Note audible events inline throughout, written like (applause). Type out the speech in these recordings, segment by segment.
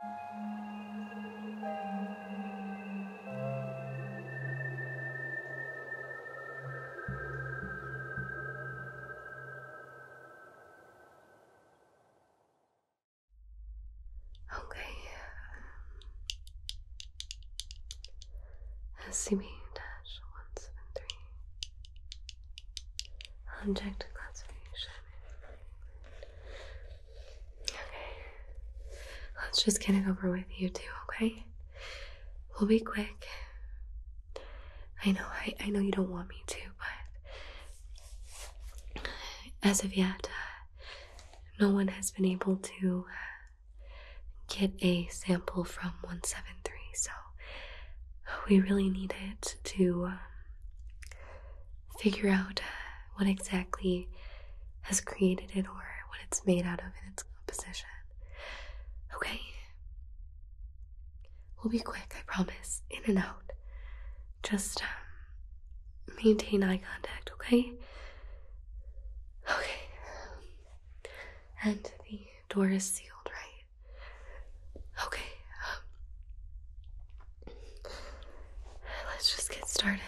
Okay. SCP-173 Object classification Okay. Let's just get it over with, you two, okay? We'll be quick. I know, I, I know you don't want me to, but as of yet, uh, no one has been able to uh, get a sample from 173, so we really need it to uh, figure out uh, what exactly has created it or what it's made out of in its composition. Okay? We'll be quick, I promise. In and out. Just um, maintain eye contact, okay? Okay. And the door is sealed, right? Okay. Um, Let's just get started.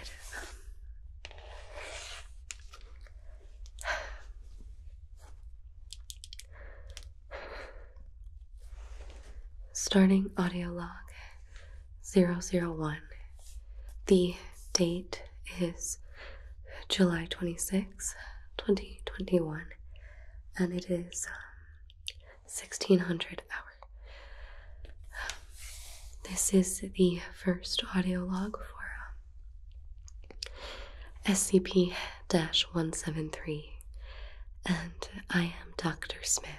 Starting audio log 001. The date is July 26, 2021, and it is um, 1600 hour. this is the first audio log for um, SCP 173, and I am Dr. Smith.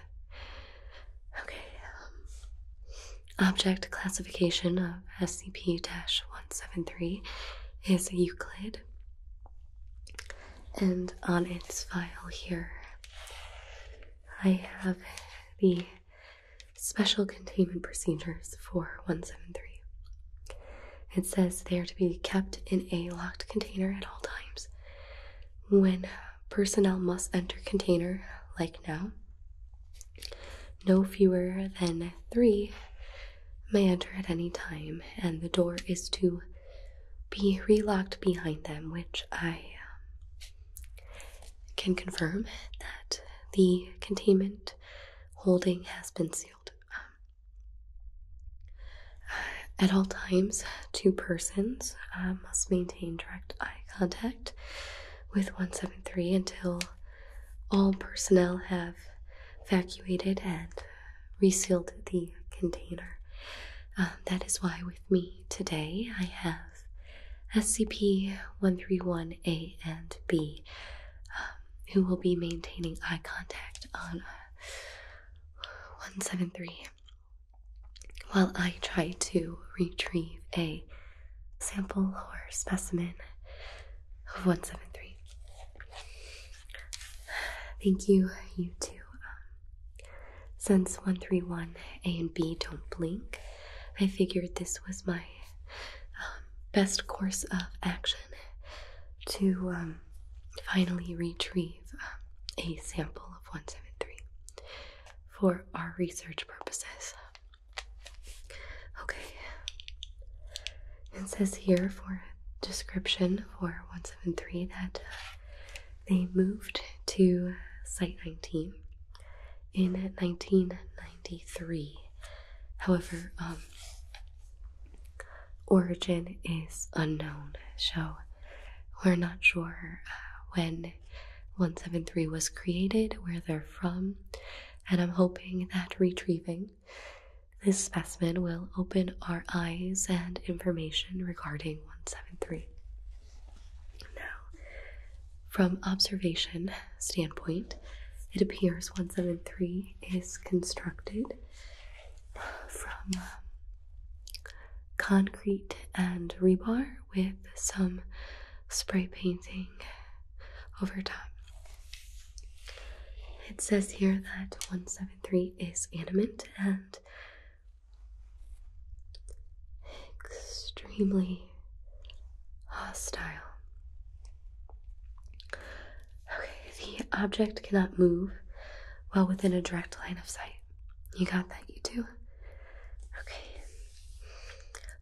Okay, um, object classification of SCP 173 is Euclid. And on its file here, I have the special containment procedures for 173. It says they are to be kept in a locked container at all times. When personnel must enter container, like now, no fewer than three may enter at any time, and the door is to be relocked behind them, which I um, can confirm that the containment holding has been sealed. Um, uh, at all times, two persons uh, must maintain direct eye contact with 173 until all personnel have evacuated and resealed the container. Uh, that is why, with me today, I have SCP 131A and B, um, who will be maintaining eye contact on uh, 173 while I try to retrieve a sample or specimen of 173. Thank you, you two. Um, since 131 A and B don't blink, I figured this was my um, best course of action to um, finally retrieve um, a sample of 173 for our research purposes. Okay, it says here for description for 173 that uh, they moved to Site 19 in 1993. However, um, origin is unknown, so we're not sure uh, when 173 was created, where they're from, and I'm hoping that retrieving this specimen will open our eyes and information regarding 173. Now, from observation standpoint, it appears 173 is constructed from um, concrete and rebar with some spray painting over top. It says here that 173 is animate and extremely hostile. Okay, the object cannot move while within a direct line of sight. You got that, you two? Okay.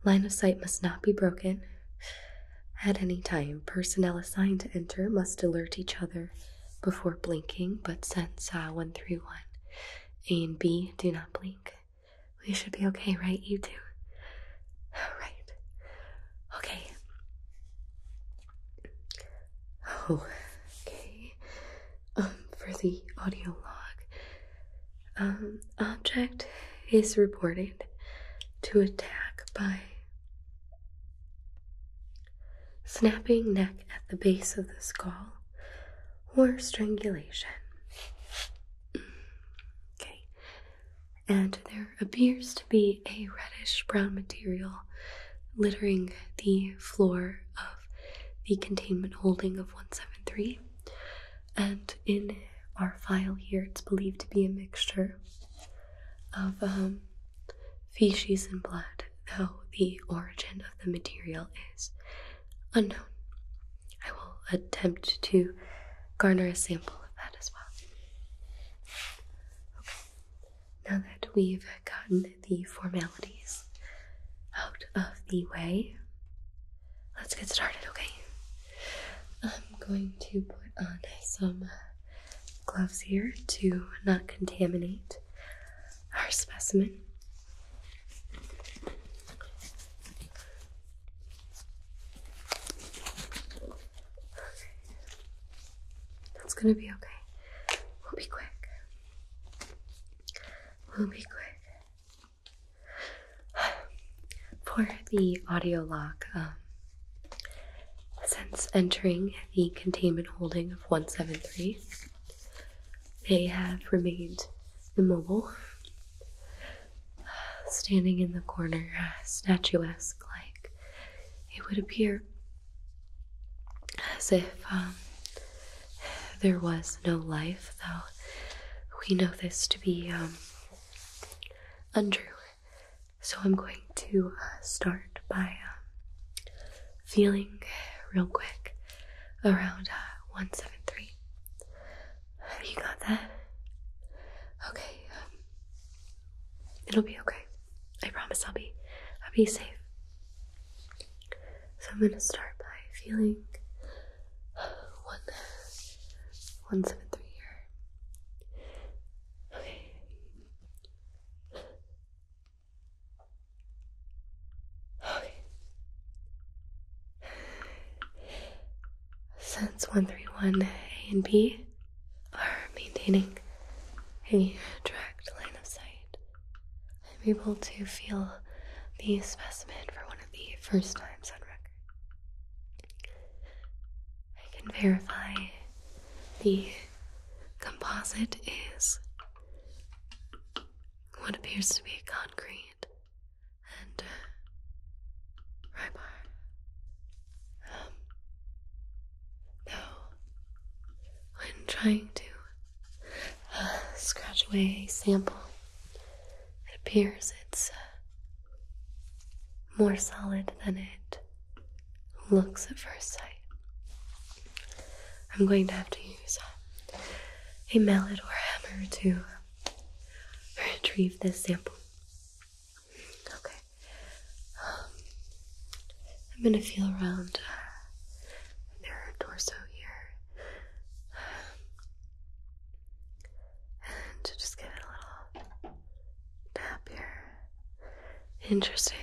Line of sight must not be broken. At any time, personnel assigned to enter must alert each other before blinking, but since uh, 131 A and B do not blink, we should be okay, right? You two? (sighs) Right. Okay. Oh, (sighs) okay. Um, for the audio log, um, object is reported to attack by snapping neck at the base of the skull, or strangulation. Mm. Okay, and there appears to be a reddish brown material littering the floor of the containment holding of 173. And in our file here, it's believed to be a mixture of um, feces and blood, though the origin of the material is unknown. I will attempt to garner a sample of that as well. Okay, now that we've gotten the formalities out of the way, let's get started, okay? I'm going to put on some gloves here to not contaminate our specimen. That's gonna be okay. We'll be quick. We'll be quick. (sighs) For the audio lock, um, since entering the containment holding of 173. They have remained immobile, standing in the corner, statuesque, like it would appear as if um, there was no life, though we know this to be um, untrue. So I'm going to uh, start by um, feeling real quick around uh, 173. You got that? Okay. Um, it'll be okay. I promise I'll be I'll be safe. So I'm gonna start by feeling one one seven three here. Okay. Since 131A and B are maintaining a direct line of sight, I'm able to feel the specimen for one of the first times on record. I can verify the Composite is what appears to be concrete and uh, rebar. though, um, when trying to uh, scratch away a sample, it appears it's uh, more solid than it looks at first sight. I'm going to have to use a mallet or hammer to retrieve this sample. Okay. Um, I'm going to feel around uh, their torso here and just give it a little tap here. Interesting.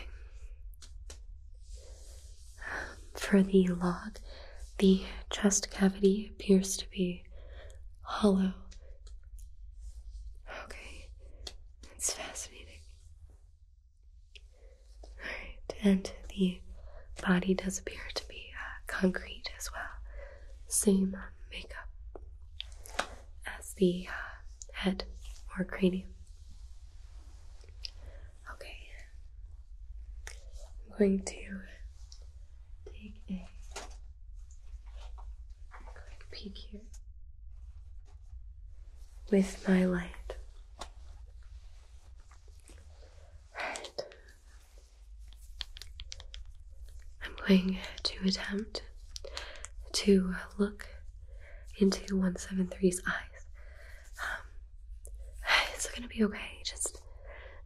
For the log, the chest cavity appears to be hollow. Okay, it's fascinating. Alright, and the body does appear to be uh, concrete as well. Same makeup as the uh, head or cranium. Okay, I'm going to take a quick peek here with my light. Right. I'm going to attempt to look into 173's eyes. Um, (sighs) it's gonna be okay, just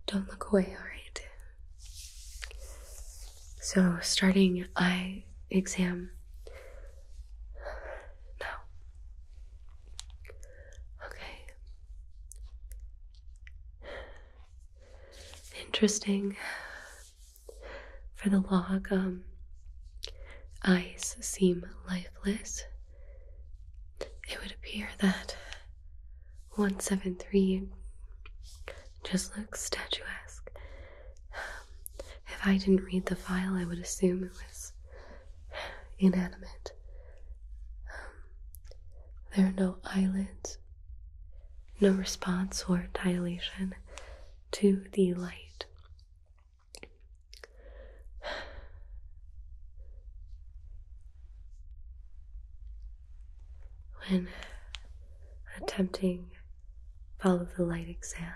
don't look away, alright? So, starting eye exam (sighs) now. Okay. (sighs) Interesting. For the log, um, eyes seem lifeless. It would appear that 173 just looks statuesque. (sighs) If I didn't read the file, I would assume it was inanimate. Um, there are no eyelids, no response or dilation to the light when attempting follow the light exam,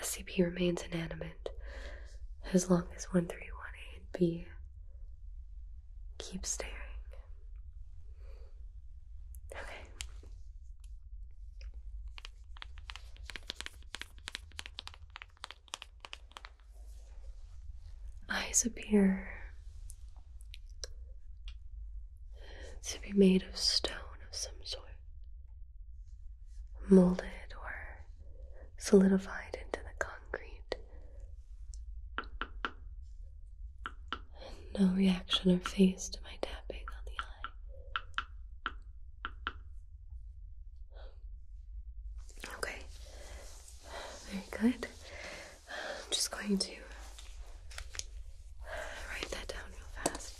SCP remains inanimate as long as 1318B keeps staring. Okay. Eyes appear to be made of stone of some sort, molded or solidified into the concrete. No reaction or face to my tapping on the eye. Okay, very good. I'm just going to write that down real fast.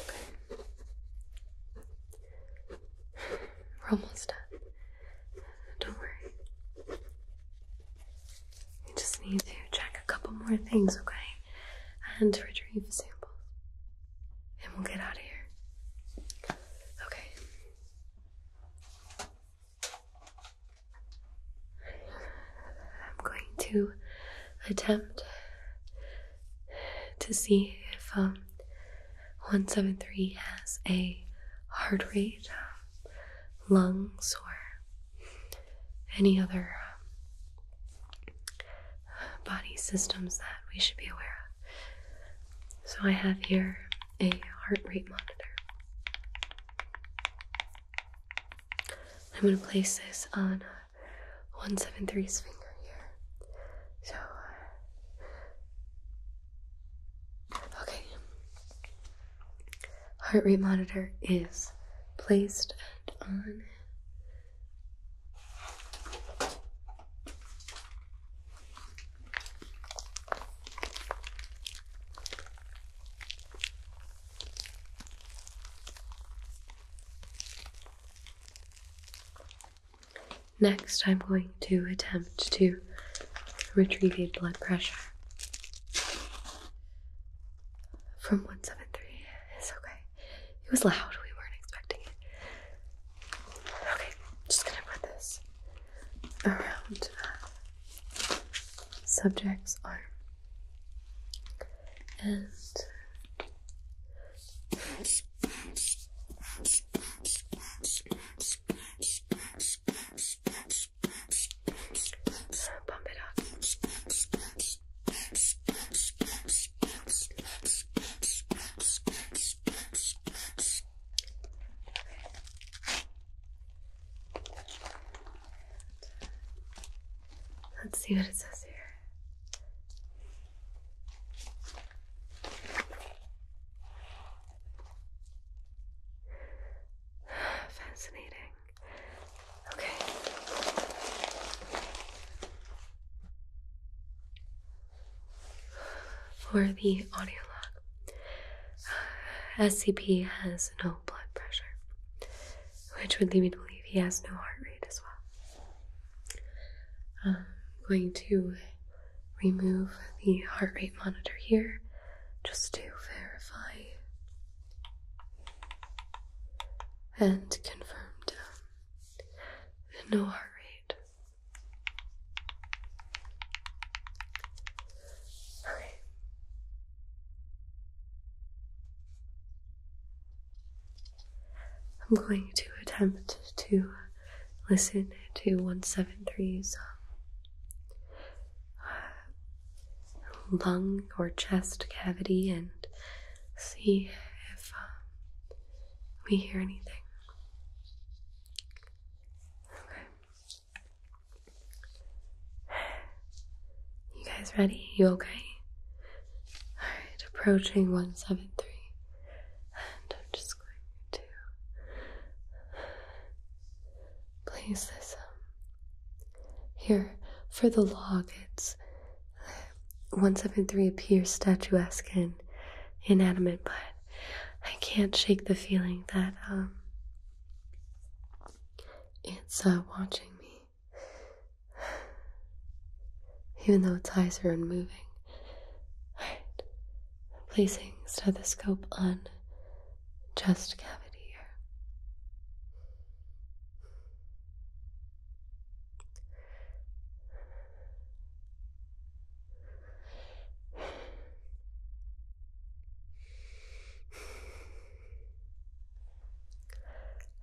Okay. We're almost done. Don't worry. You just need to check a couple more things, okay? And retrieve samples. And we'll get out of here. Okay. I'm going to attempt to see if um 173 has a heart rate, lungs, or any other uh, body systems that we should be aware of. So I have here a heart rate monitor. I'm going to place this on 173's uh, finger here. So uh, Okay. Heart rate monitor is placed on. Next, I'm going to attempt to retrieve a blood pressure from 173. It's okay. It was loud. We weren't expecting it. Okay, just gonna put this around uh, subject's arm. And Pump it up. Let's see what it says here. (sighs) Fascinating. Okay. For the audio log, SCP (sighs) has no blood pressure, which would lead me to believe he has no heart rate as well. I'm going to remove the heart rate monitor here just to verify and confirm down the no heart rate. Okay. I'm going to attempt to listen to 173's um, uh, lung or chest cavity and see if um, we hear anything. Okay. You guys ready? You okay? Alright, approaching 173. And I'm just Please listen um, here for the log. It's 173 appears statuesque and inanimate, but I can't shake the feeling that um, it's uh, watching me, even though its eyes are unmoving. Alright, placing stethoscope on chest cavity here.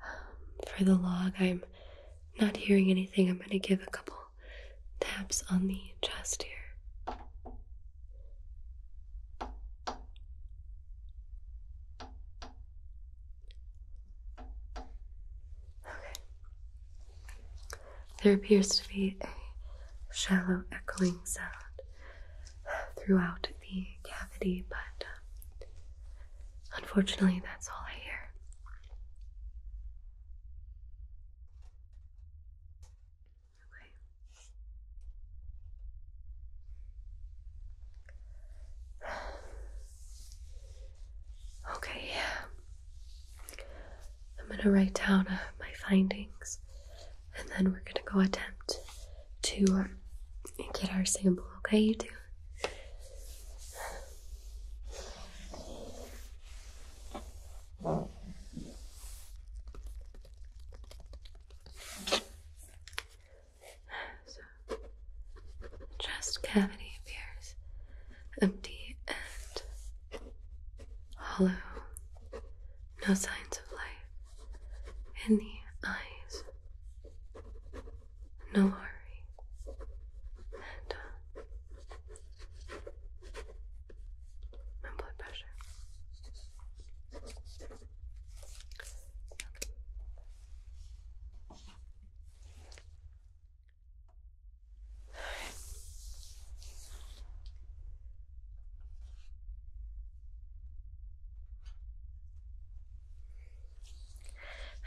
Um, for the log, I'm not hearing anything. I'm going to give a couple taps on the chest here. Okay. There appears to be a shallow echoing sound throughout the cavity, but um, unfortunately, that's all I hear. Okay. Okay, I'm going to write down uh, my findings and then we're going to go attempt to um, get our sample, okay, you two? chest cavity appears empty and hollow. No signs of life in the eyes. No hurry. And, uh, my blood pressure.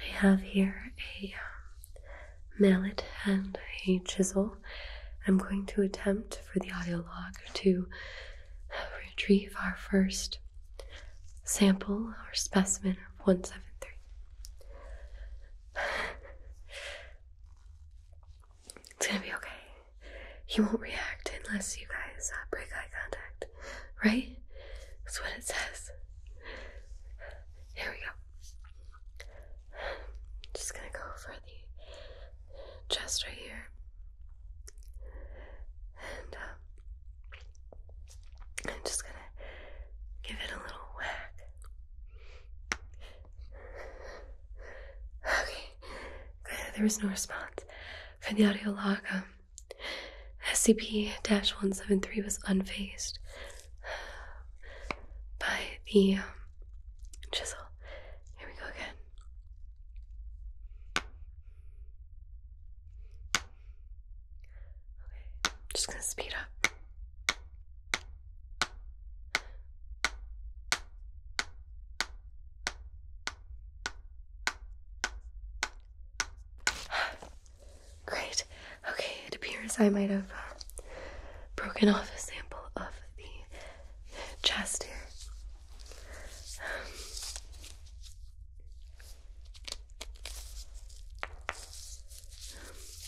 I have here a um, mallet and a chisel. I'm going to attempt for the audio log to retrieve our first sample or specimen of 173. It's gonna be okay. He won't react unless you guys uh, break eye contact, right? That's what it says. Here we go. I'm just gonna go for the chest right here. And uh, I'm just gonna give it a little whack. Okay, there was no response for the audio log. Um, SCP 173 was unfazed by the um, chisel. Here we go again. Okay, just gonna speed up. (sighs) Great. Okay, it appears I might have uh, broken off a sample of the chest here.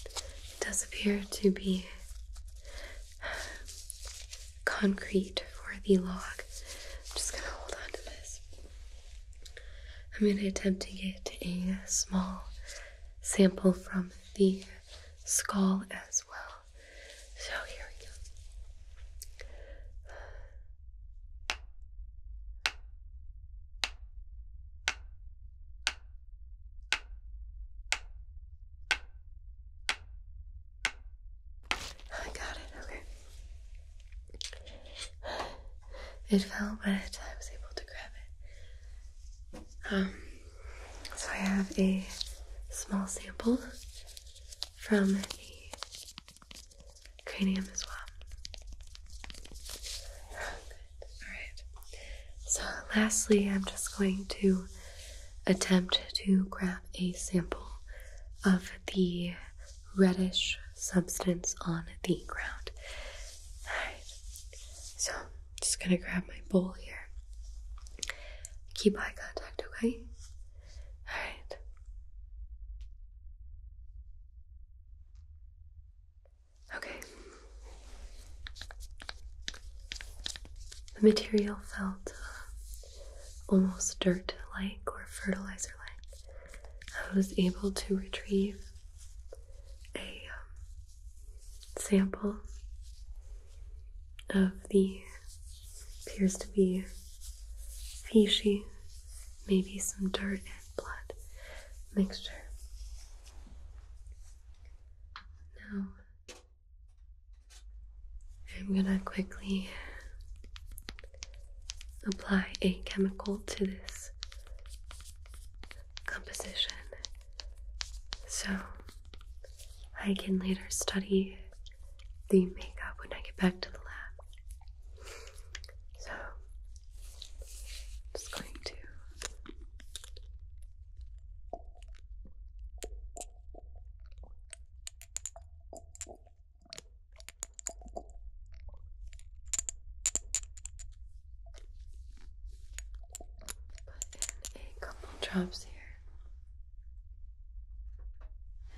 it does appear to be uh, concrete for the log. I'm just gonna hold on to this. I'm gonna attempt to get a small sample from the skull as well. So here we go. I got it, okay. It fell, but I was able to grab it. Um so I have a small sample from the cranium as well. Alright. So lastly, I'm just going to attempt to grab a sample of the reddish substance on the ground. Alright. So just gonna grab my bowl here. Keep eye contact, okay? Alright. Okay. The material felt uh, almost dirt like or fertilizer like. I was able to retrieve a um, sample of the appears to be fishy, maybe some dirt and blood mixture. Now I'm gonna quickly apply a chemical to this composition so I can later study the makeup when I get back to the lab. So just going to Put in a couple drops here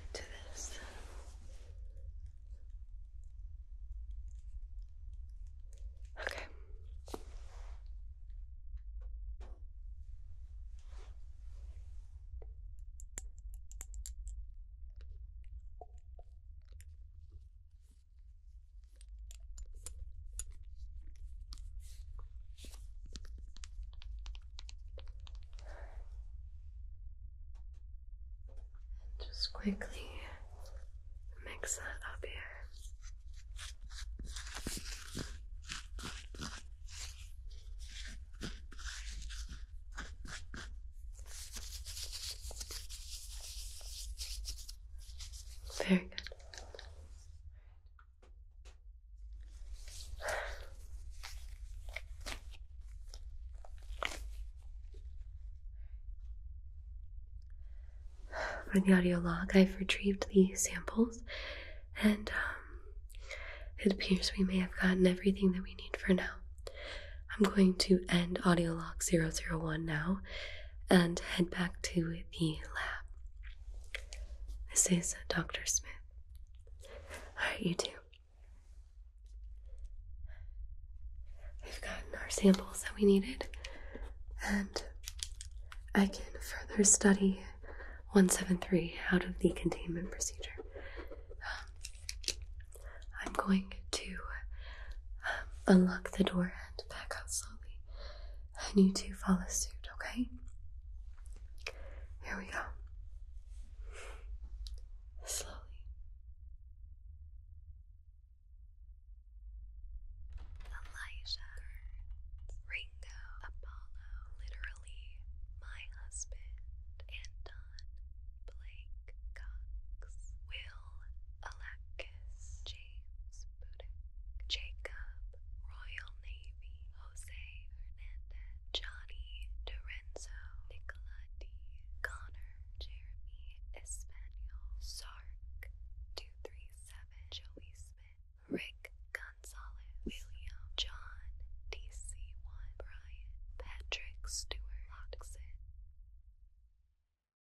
into this. Okay just quickly mix that up here. Very good. For the audio log, I've retrieved the samples, and um, it appears we may have gotten everything that we need for now. I'm going to end audio log 001 now and head back to the lab. This is Dr. Smith. All right, you two. We've gotten our samples that we needed, and I can further study 173 out of the containment procedure. Um, I'm going to um, unlock the door and back out slowly. And you two follow suit, okay? Here we go. Slowly. Elijah, Ringo, Apollo, literally my husband, Anton, Blake, Cox, Will, Alakis, James, Jacob, Royal Navy, Jose Hernandez, Johnny Dorenzo, Nicola D. Connor, Jeremy Espanol, Sark, 237, Joey Smith, Rick Gonzalez, William, John, DC1, Brian, Patrick Stewart, Loxon.